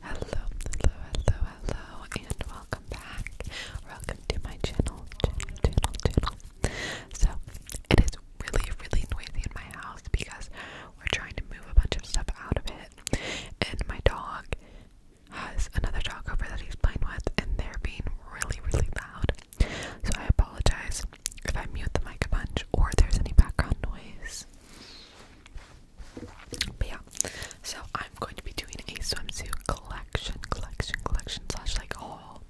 Hello, hello, hello, hello, and welcome back. Welcome to my channel, channel, channel, channel. So, it is really, really noisy in my house because we're trying to move a bunch of stuff out of it, and my dog has another dog over that he's playing with, and they're being really, really loud. So, I apologize if I mute the mic a bunch or there's any background noise yeah, so I'm going to be doing a swimsuit collection, collection, collection slash like haul.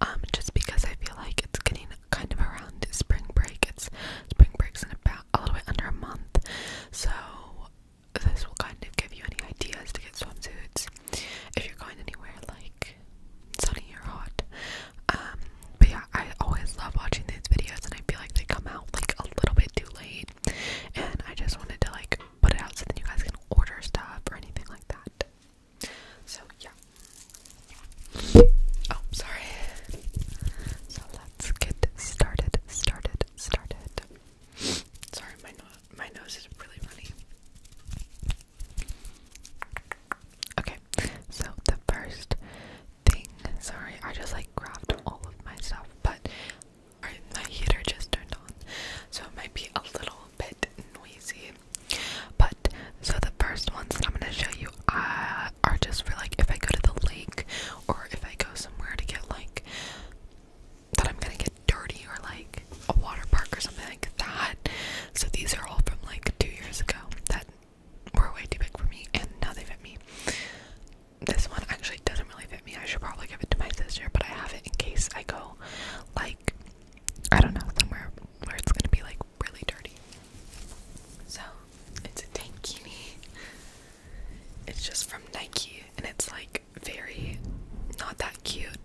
Um, just because I feel like it's getting kind of around spring break. It's spring breaks in about a little bit under a month, so this will kind of give you any ideas to get swimsuits if you're going anywhere like sunny or hot. Um, but yeah, I always love watching these videos and I feel like they come out like a little bit too late. And I just wanted to like put it out so that you guys can order stuff or anything like that. So yeah. Oh, sorry. So let's get started, started, started. Sorry, my no my nose is really funny. Okay, so the first thing. Sorry, I just like grabbed all of my stuff, but right, my heater just turned on, so it might be a little bit noisy. But so the first ones that I'm gonna show you uh, are just for like if I go to the lake or if I go somewhere to get like that I'm gonna get dirty or like a water park or something like that. So these are all from like two years ago were way too big for me, and now they fit me. This one actually doesn't really fit me. I should probably give it to my sister, but I have it in case I go, like, I don't know, somewhere where it's gonna be like really dirty. So it's a tankini. It's just from Nike, and it's like very not that cute,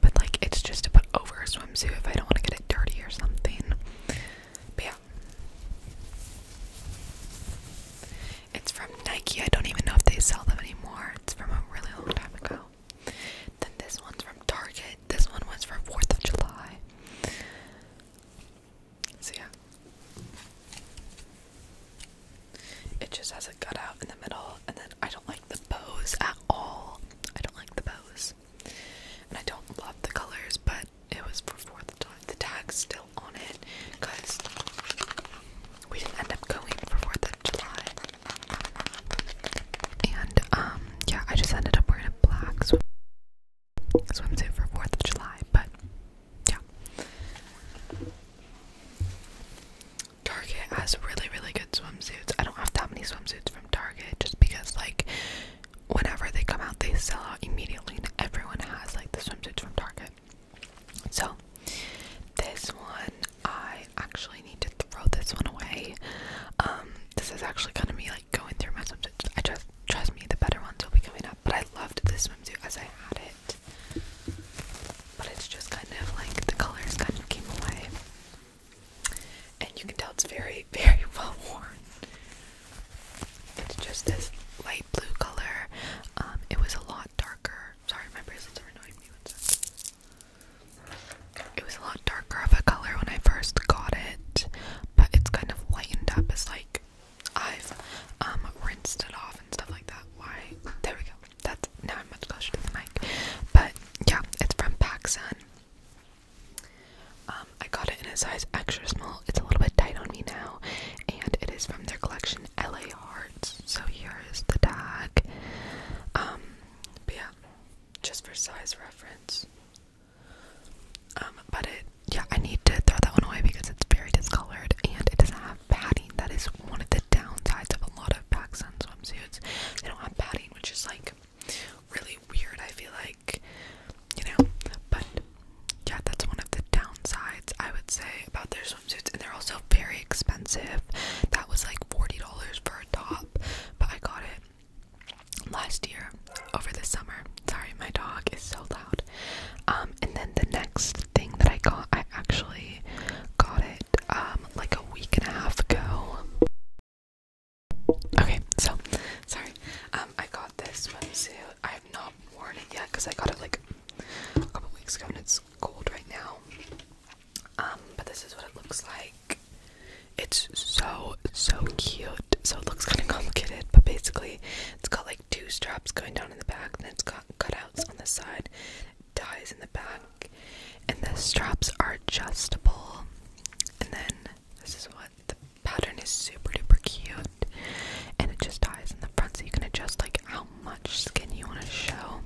but like it's just to put over a swimsuit if I don't want to get it dirty or something. But yeah. It's from Nike. I don't even know if they sell them anymore. It's from a really long time ago. Then this one's from Target. This one was for 4th of July. So yeah. It just has a cutout in the middle, and then I don't like the bows at all. I don't like the bows. And I don't love the colors, but it was for Fourth of July. The tag's still on it because we didn't end up going for Fourth of July. And um, yeah, I just ended up wearing a black swim swimsuit for Fourth of July. But yeah, Target has really, really good swimsuits. I don't have that many swimsuits from Target just because like whenever they come out, they sell out immediately, and everyone has like the swimsuits from Target. So, this one, I actually need to throw this one away. Um, this is actually gonna me like going through my swimsuits. I just trust me, the better ones will be coming up. But I loved this swimsuit as I had it. But it's just kind of like the colors kind of came away. And you can tell it's very, very well worn. It's just this light blue color. Um, it was a lot darker. Sorry, my bracelets are annoying me. It was a lot darker of a color when I first got it, but it's kind of lightened up It's like I've um, rinsed it off and stuff like that. Why? There we go. That's now I'm much closer to the mic. But yeah, it's from PacSun. Um, I got it in a size extra small. It's a little bit tight on me now, and it is from their collection LA Hearts. So here is the tag. Um, but yeah, just for size reference. Um, but it, yeah, I need to throw that one away because it's very discolored and it doesn't have padding. That is one of the downsides of a lot of Pacsun swimsuits. They don't have padding, which is like really weird. I feel like you know but yeah that's one of the downsides i would say about their swimsuits and they're also very expensive that was like $40 for a top but i got it last year over the summer sorry my dog is so loud um, and then the next thing that i got i actually got it um, like a week and a half ago okay so sorry um, i got this swimsuit i not worn it yet because I got it like a couple weeks ago and it's cold right now. Um, but this is what it looks like. It's so so cute. So it looks kind of complicated, but basically it's got like two straps going down in the back, and it's got cutouts on the side, ties in the back, and the straps are adjustable. And then this is what pattern is super duper cute and it just ties in the front so you can adjust like how much skin you want to show.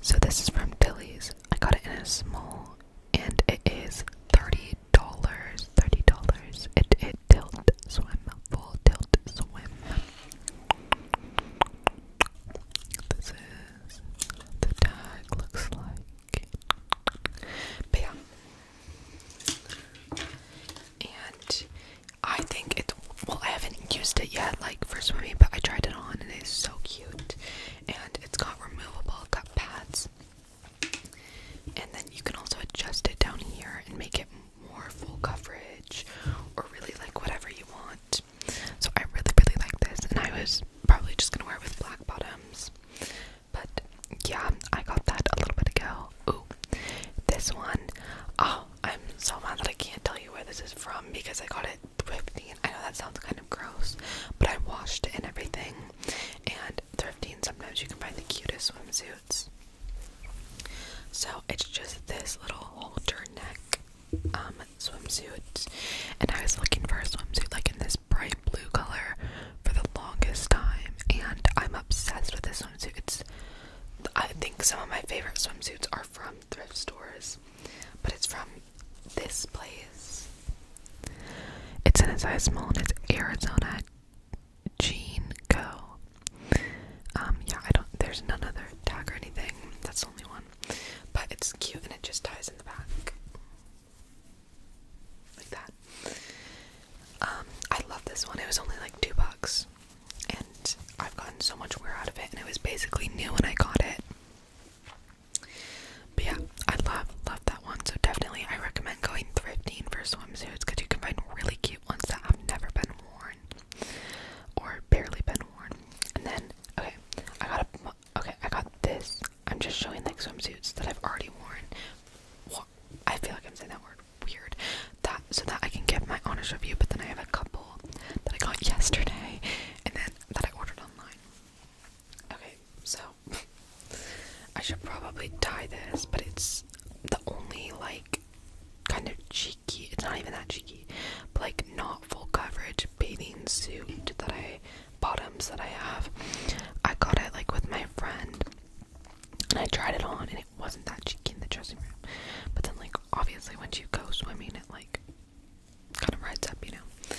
So this is from Tilly's. I got it in a small and it is $30. $30. It it tilt swim. Full tilt swim. This is the tag looks like. But yeah, and I think it's well, I haven't used it yet, like for swimming, but I tried it on and it's so cute. And it's got removable cup pads, and then you can also adjust it down here and make it more full coverage or really like whatever you want. So I really, really like this, and I was probably just gonna wear it with black bottoms. But yeah, I got that a little bit ago. Ooh, this one. Oh, I'm so mad that I can't tell you where this is from because I got it thrifting. I know that sounds kind of gross, but I washed it and everything. And thrifting, sometimes you can find the cutest swimsuits. So it's just this little halter neck um, swimsuit, and I was looking for a swimsuit like in this bright blue color for the longest time, and I'm obsessed with this swimsuit. It's, I think, some of my favorite swimsuits are from thrift stores, but it's from this place. It's in a size small, and it's Arizona Jean Co. Um, yeah, I don't. There's none other tag or anything. That's the only one, but it's cute, and it just ties in the back like that. Um, I love this one. It was only like two bucks, and I've gotten so much wear out of it, and it was basically new when I got it. But yeah, I love love that one. So definitely, I recommend going thrifting for swimsuits because you can find really cute ones that i have never been worn or barely been worn. And then, okay, I got a, okay, I got this. I'm just showing like swimsuits that I've already worn. I feel like I'm saying that word weird. That so that I can get my honest review, but then I have a couple that I got yesterday and then that I ordered online. Okay, so I should probably tie this, but it's the only like kind of cheeky it's not even that cheeky, but like not full coverage bathing suit that I bottoms that I have. I got it like with my friend and I tried it on and it wasn't that cheeky in the dressing room. But then like obviously once you go swimming it like kind of rides up, you know.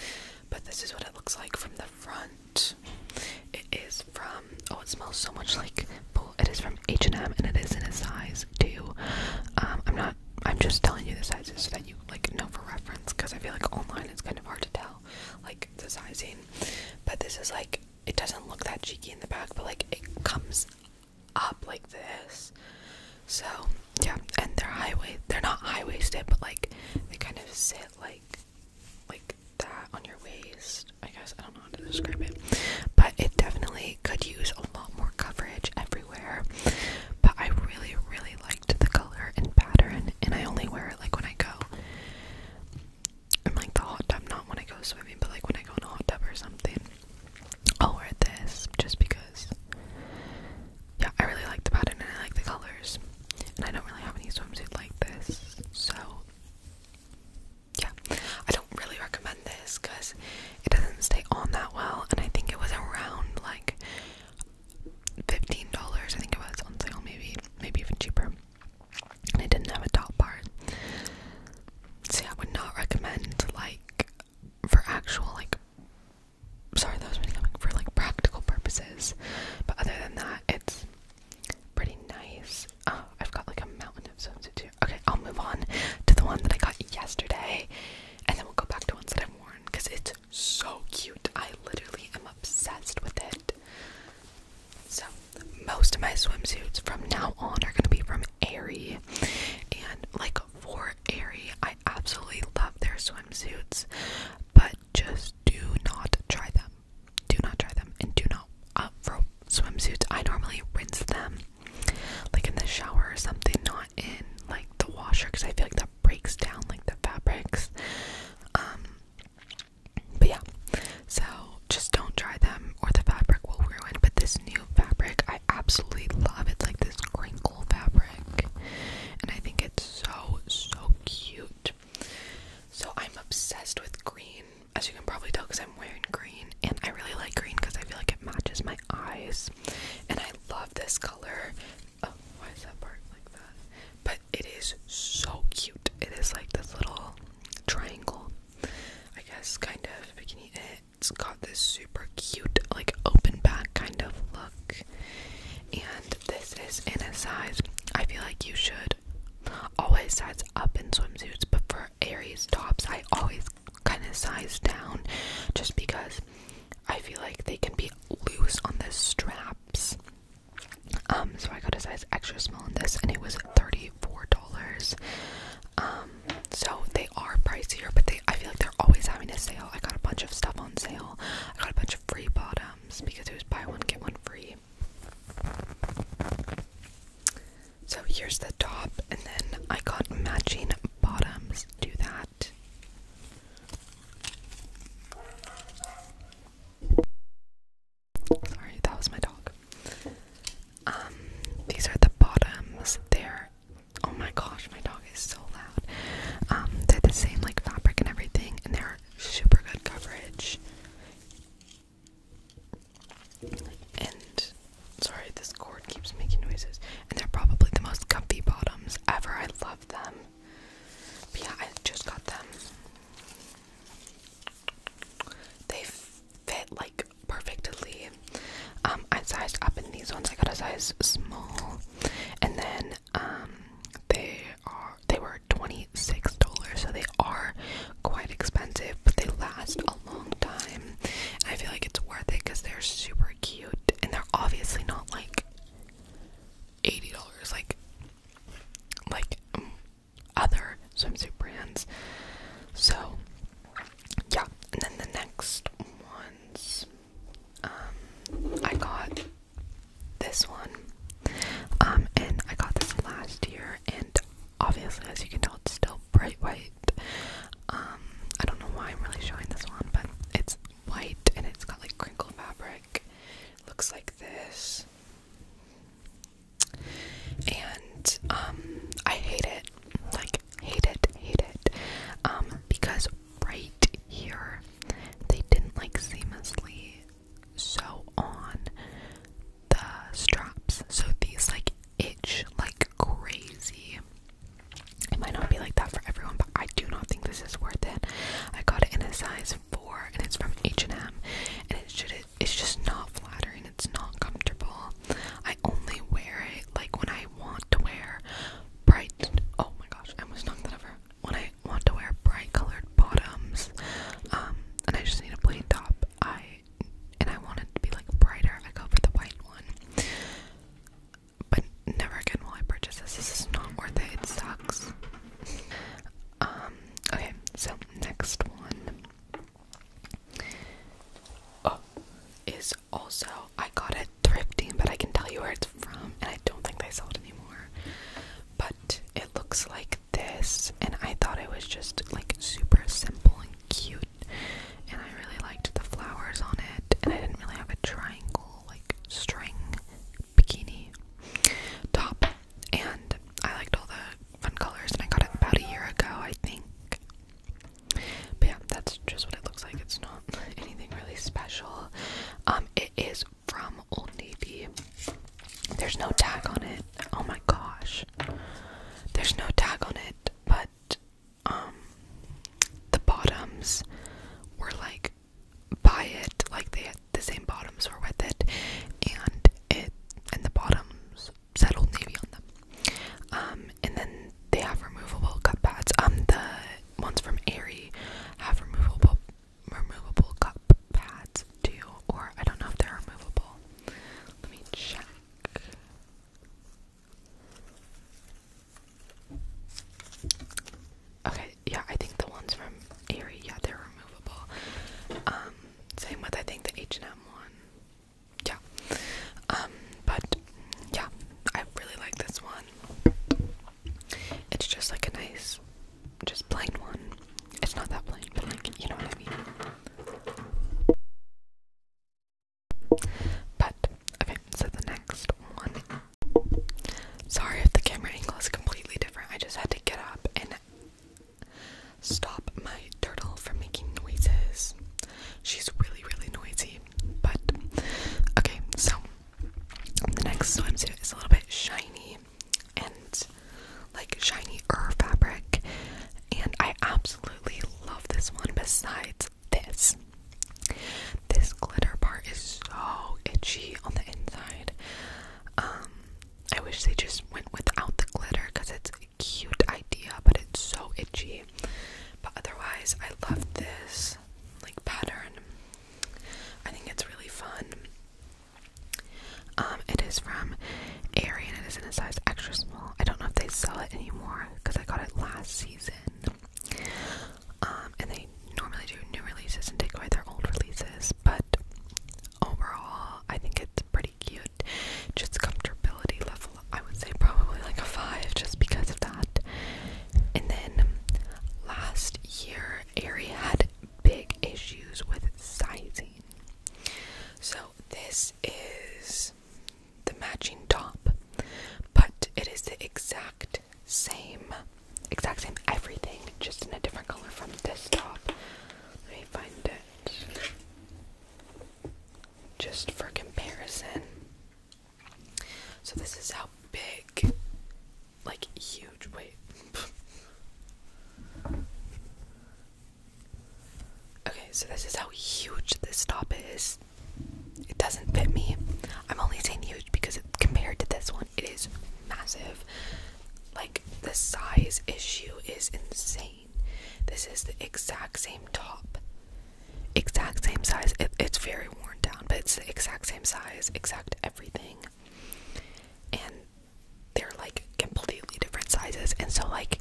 But this is what it looks like from the front. It is from oh it smells so much like pool. It is from H and M and it is in a size two. Um, I'm not I'm just telling you the sizes so that you like know for reference because I feel like online it's kind of hard to tell like the sizing. But this is like it doesn't look that cheeky in the back, but like it comes up like this. So yeah, and they're high waist they're not high waisted, but like they kind of sit like like that on your waist. I guess I don't know how to describe it. But it definitely could use a lot more coverage everywhere. But I really, really liked the color and pattern and I only wear it like when I go I'm like the hot tub, not when I go swimming, but like when I go in a hot tub or something. I'll wear this just because yeah, I really like the pattern and I like the colors. And I don't really have any swimsuit like this, so yeah. I don't really recommend this because it doesn't stay on that well and I think it was around like $15 I think it was on sale maybe maybe even cheaper and it didn't have a top part. See, I would not recommend like for actual like sorry that was really coming for like practical purposes. But other than that, it's pretty nice. Oh, I've got like a mountain of swimsuits here. Okay, I'll move on to the one that I got yesterday and then we'll go back to ones that I've worn because it's so cute. I literally am obsessed with it. So most of my swimsuits from now on are gonna be from Aerie. And like for Aerie, I absolutely love their swimsuits, but just do not try them. Do not try them, and do not uh, for swimsuits. I normally rinse them like in the shower or something, not in like the washer, because I feel like that breaks down like the fabrics. Um, but yeah, so just don't dry them or the fabric will ruin. But this new fabric, I absolutely love. It's like this crinkle fabric, and I think it's so so cute. So I'm obsessed with green, as you can probably tell, because I'm wearing green, and I really like green because I feel like it matches my eyes, and I love this color. Oh, why is that part like that? but it is so cute. It is like this little triangle, I guess, kind of. If it. It's got this super cute, like open back kind of look. And this is in a size. I feel like you should always size up in swimsuits, but for Aries tops, I always kind of size down just because I feel like they can be loose on the straps. Um, so I got a size extra small in this, and it was thirty-four dollars. Um, so they are pricier, but they I feel like they're always having a sale. I got a bunch of stuff on sale. I got a bunch of free bottoms because it was buy one get one free. So here's the top, and then I got matching bottoms to that. Sorry, that was my dog. Um, these are the bottoms. They're oh my gosh, my dog is so loud. Um, they're the same like fabric and everything, and they're super good coverage. And sorry, this cord keeps making noises. And they're probably the most comfy bottoms ever. I love them. yeah, I just got them. They fit like perfectly. Um, I sized up in these ones. I got a size small, and then um, they are they were twenty six dollars, so they are quite expensive, but they last a long time. I feel like it's worth it because they're super cute, and they're obviously not like eighty dollars. Like, like mm, other swimsuit brands. So, yeah. And then the next ones, um, I got this one, um, and I got this last year, and obviously, as you can tell, it's still bright white. Um, I don't know why I'm really showing this one, but it's white and it's got like crinkle fabric. Looks like this and um, I hate it like hate it hate it um, because right here they didn't like seamlessly sew on the straps so these like itch like crazy it might not be like that for everyone but I do not think this is worth it I got it in a size 4 and it's from H&M and it's just not flattering it's not comfortable I only wear it like when I want to wear bright oh my gosh I almost knocked that over when I want to wear bright colored bottoms um and I just need a plain top I and I want it to be like brighter I go for the white one but never again will I purchase this. This is not worth it. It sucks. Um, Okay, so next one uh, is also I got it thrifting, but I can tell you where it's from, and I don't think they sell it anymore. But it looks like this, and I thought it was just like super simple and cute, and I really liked the flowers on it, and I didn't really have a triangle like string bikini top and I liked all the fun colors and I got it about a year ago I think. But yeah, that's just what it looks like. It's not anything really special. Um, it is from Old Navy. There's no tag on it. Oh my gosh. There's no tag on it, but um the bottoms were like buy it like they had the same bottoms were with it and it and the bottoms said navy on them um and then they have removable cup pads um the ones from Aerie have removable removable cup pads too or I don't know if they're removable let me check Okay, yeah, I think the ones from Aerie, yeah, they're removable. Um, same with I think the H and M one. Yeah. Um, but yeah, I really like this one. It's just like a nice, just plain one. It's not that plain, but like you know what I mean. But okay, so the next one. Sorry if the camera angle is completely different. I just had to get up and stop my turtle from making noises. She's really, really noisy. But okay, so the next swimsuit is a little bit shiny and like shiny er fabric, and I absolutely love this one. Besides this, this glitter part is so itchy on the inside. Um, I wish they just went without the glitter because it's a cute idea, but it's so itchy. But otherwise, I love this like pattern. I think it's really fun. Um, it is from Aerie and it is in a size extra small. I don't know if they sell it anymore because I got it last season. Um, and they normally do new releases and take away their old releases, but overall, I think it's pretty cute. Just comfortability level, I would say probably like a 5 just because of that. And then last year, Ari had big issues with sizing. So this is the matching top, but it is the exact same exact same everything, just in a different color from this top. Let me find it. Just for comparison. So this is how big, like huge, wait. okay, so this is how huge this top is. It doesn't fit me. I'm only saying huge because it, compared to this one, it is massive. Like, the size issue is insane. This is the exact same top, exact same size. it's very worn down, but it's the exact same size, exact everything. And they're like completely different sizes. And so, like,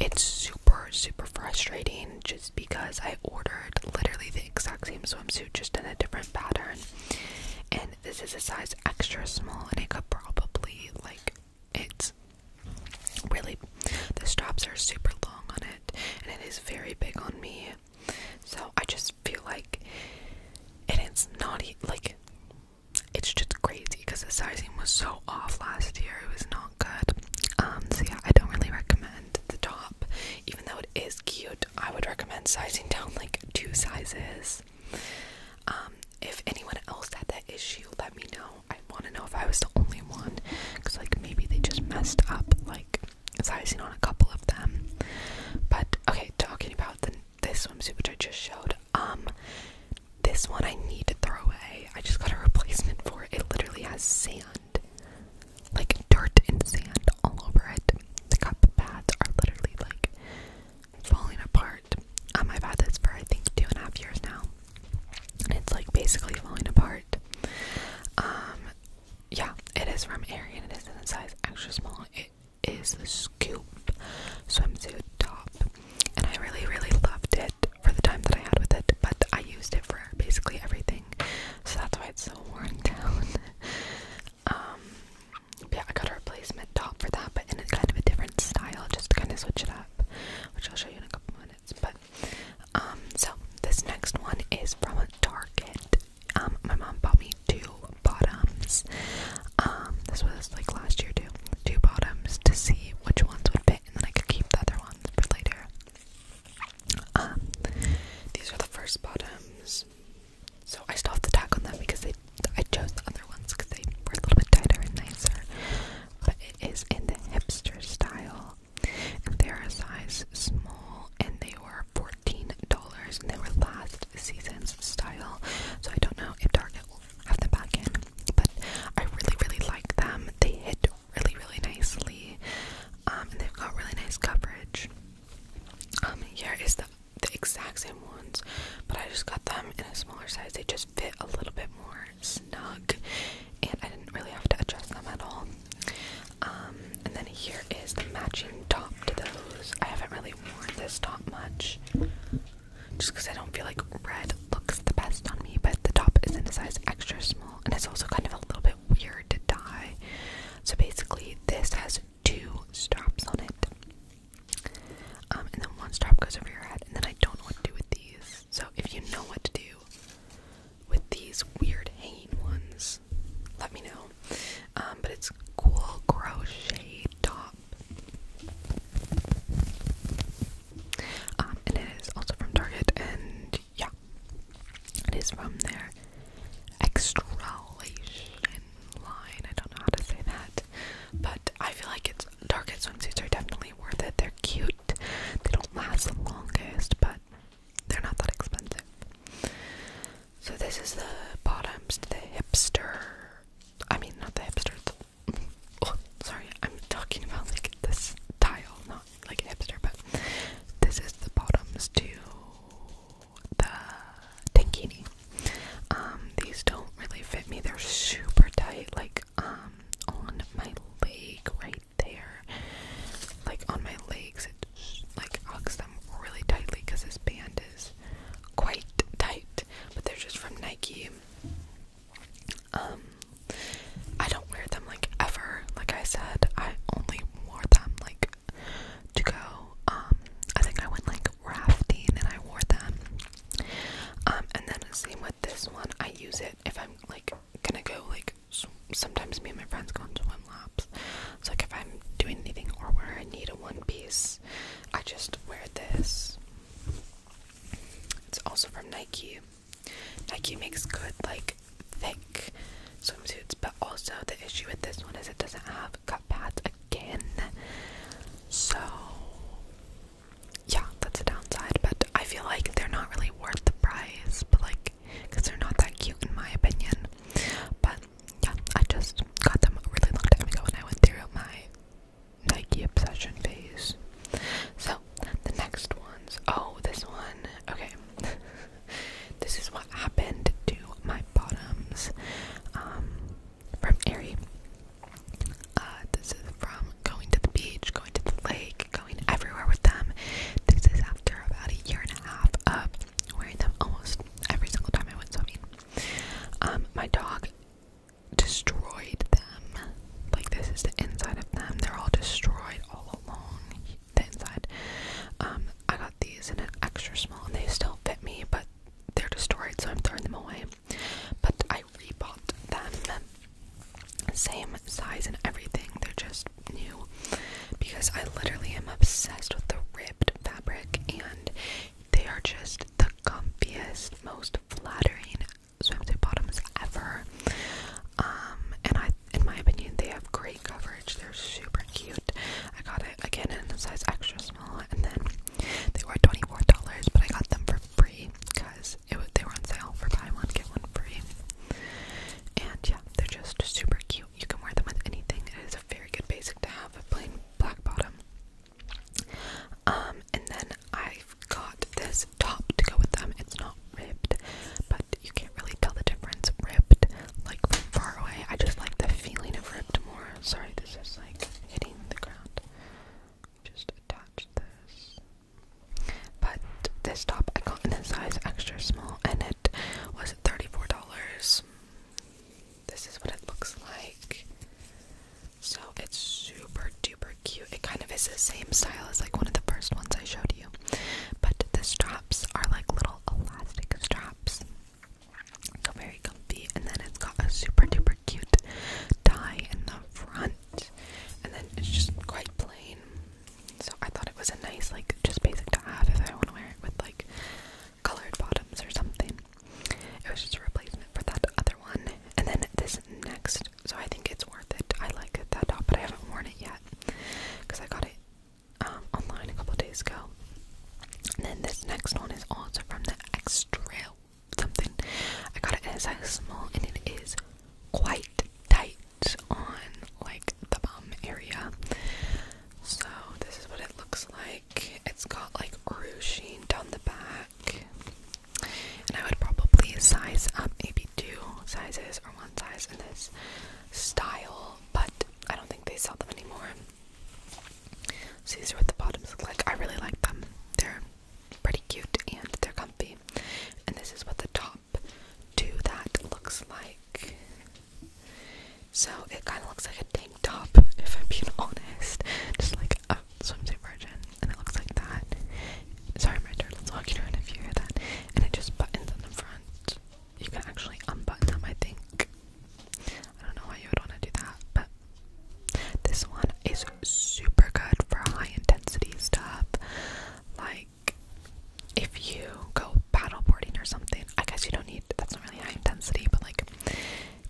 it's super, super frustrating just because I ordered literally the exact same swimsuit, just in a different pattern this is a size extra small and it could probably like it's really the straps are super long on it and it is very big on me so i just feel like and it's naughty, like it's just crazy because the sizing was so off last year it was not good um so yeah i don't really recommend the top even though it is cute i would recommend sizing down like two sizes um, if anyone else had that issue, let me know. I want to know if I was the only one, because like maybe they just messed up. Like, as I've seen on a couple of them. But okay, talking about this swimsuit which I just showed. Um, this one I need to throw away. I just got a replacement for it. It literally has sand, like dirt and sand all over it. The cup pads are literally like falling apart. Um, I've had this for I think two and a half years now, and it's like basically falling apart. Um, yeah, it is from and It is in the size extra small. It is the scoop swimsuit top, and I really, really loved it for the time that I had with it. But I used it for basically everything, so that's why it's so worn down. Um, yeah I got a replacement top for that but in a kind of a different style just to kind of switch it up which I'll show you in a couple minutes but um, so this next one is from Target um, my mom bought me two bottoms this was like last year too two bottoms to see which ones would fit and then I could keep the other ones for later these are the first bottoms so I still have the tag on them because I chose the other ones because they were a little bit tighter and nicer. But it is in the hipster style. And they're a size small and they were $14 and they were last season's style. So I don't know if Target will have them back in. But I really, really like them. They hit really, really nicely. Um, and they've got really nice coverage. Um, here is the the exact same ones, but I just got them in a smaller size. They just fit a little bit more snug, and I didn't really have to adjust them at all. Um, and then here is the matching top to those. I haven't really worn this top much, just because I don't feel like red looks the best on me. But the top is in a size extra small, and it's also kind of a little bit weird to dye. So basically, this has two straps on it. Um, and then one strap goes over your head, and then I don't know what to do with these. So if you know what to do with these weird hanging ones, let me know. Um, but it's cool crochet top. Um, and it is also from Target, and yeah, it is from their extralation line. I don't know how to say that, but I feel like it's Target swimsuits are definitely worth it. They're cute. They don't last the longest, but they're not that expensive. So this is the bottoms to the hipster. I mean, not the hipster. Oh, sorry, I'm talking about like this style, not like hipster, but this is the bottoms to the tankini. Um, these don't really fit me. They're super tight, like um on my leg right there. Like on my legs, it like hugs them really tightly because this band is quite tight. But they're just from Nike. Um, I don't wear them like ever. Like I said, I only wore them like to go. Um, I think I went like like rafting and I wore them. Um, and then same with this one. I use it if I'm like gonna go like sometimes me and my friends go on swim laps. So like if I'm doing anything or where I need a one piece, I just wear this. It's also from Nike. Nike makes good like thick swimsuits, but also the issue with this one is it doesn't have cut pads. So yeah, that's a downside, but I feel like they're not really worth the price, but like because they're not that cute in my opinion. But yeah, I just got them a really long time ago when I went through my Nike obsession phase. So the next ones, oh, this one, okay, this is what happened to my bottoms um, from Ari. Uh, this is from going to the beach, going to the lake, going everywhere with them. This is after about a year and a half of wearing them almost every single time I went swimming. Um, my dog destroyed them. Like, this is the inside of them. They're all destroyed all along the inside. Um, I got these in an extra small and they still fit me, but they're destroyed, so I'm throwing them away. But I rebought them, same size and everything. They're just new because I literally am obsessed with the ribbed fabric, and they are just the comfiest, most flattering swimsuit bottoms ever. Um, and I, in my opinion, they have great coverage they're super cute. I got it again in the size extra small, and then they were $24, but I got them for free because they were on sale for buy one, get one free. And yeah, they're just super cute. You can wear them with anything. It is a very good basic to have a plain black bottom. Um, and then I've got this top to go with them. It's not ribbed, but you can't really tell the difference. Ribbed like far away. I just like the feeling of ripped more. Sorry, this is like hitting the ground. Just attach this. But this top I got in a size extra small and it was $34. This is what it looks like. So it's super duper cute. It kind of is the same style as like one of the first ones I showed you. But the straps are like little elastic straps. So very comfy. And then it's got a super duper cute tie in the front. And then it's just quite plain. So I thought it was a nice, like, just basic to have if I want to wear it with, like, colored bottoms or something. It was just a replacement for that other one. And then this next, so I think it's worth it. I like that top, but I haven't worn it yet because I got it um, online a couple days ago. And then this next one is also from the extra something. I got it in a small and it is quite tight on like the bum area. So this is what it looks like. It's got like ruching down the back. And I would probably size up maybe two sizes or one size in this style, but I don't think they sell them anymore. So these are what the bottoms look like. I really like them. They're pretty cute and they're comfy. And this is what the top to that looks like. So it kind of looks like a tank top, if I'm being honest. Just like a swimsuit version. And it looks like that. Sorry, my turtle's walking around if you hear that. And it just buttons on the front. You can actually unbutton them, I think. I don't know why you would want to do that, but this one is super good for high intensity stuff. Like if you go boarding or something, I guess you don't need that's not really high intensity, but like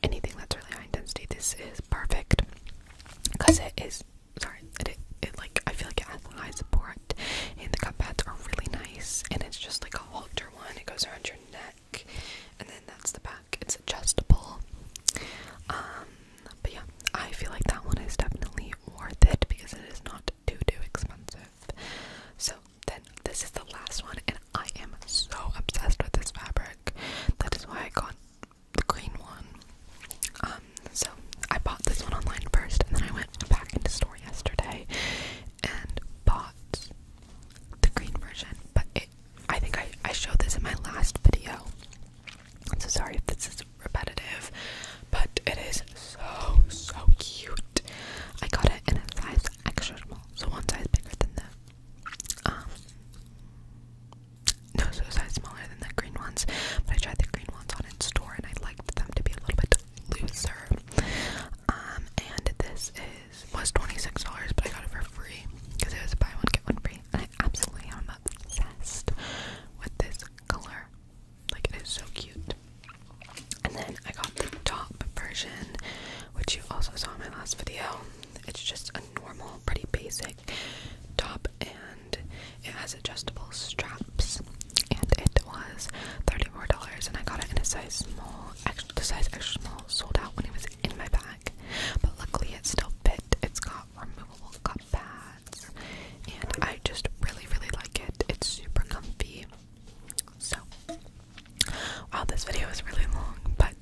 anything that's really high intensity, this is perfect because it is. Sorry, it, it, it like I feel like it has high support, and the cup pads are really nice, and it's just like a halter one. It goes around your neck and then that's the back. It's adjustable. Um, but yeah, I feel like that one is definitely worth it because it is not too too expensive. So then this is the last one, and I am so obsessed with this fabric. That is why I got the green one. Um, so I bought this one online first, and then I went back into store yesterday and pots, the green version. But I think I, I showed this in my last video. I'm so sorry if this is repetitive, but it is so, so cute. I got it in a size extra small, so one size bigger than the, um, no, so size smaller than the green ones, but I tried the green ones on in store and I liked them to be a little bit looser. Um, and this is is was twenty six dollars, but I got it for free because it was buy one get one free, and I absolutely am obsessed with this color. Like it is so cute. And then I got the top version, which you also saw in my last video. It's just a normal, pretty basic top, and it has adjustable straps. And it was thirty four dollars, and I got it in a size small small, extra, the size extra small sold out when it was in my bag, but luckily it still fit. It's got removable cup pads, and I just really, really like it. It's super comfy. So, wow, this video is really long, but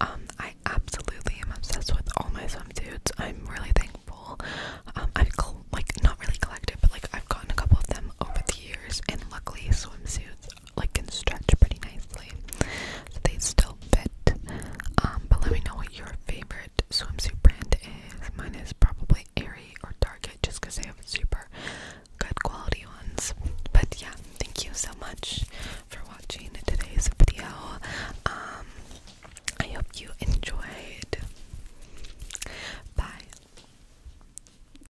um, I absolutely am obsessed with all my swimsuits. I'm really thankful. Um, I've like not really collected, but like I've gotten a couple of them over the years, and luckily swimsuits like can stretch pretty nicely. So they still fit. Um, but let me know what your favorite swimsuit brand is. Mine is probably Aerie or Target just because they have super good quality ones. But yeah, thank you so much for watching today's video. Um, I hope you enjoyed. Bye.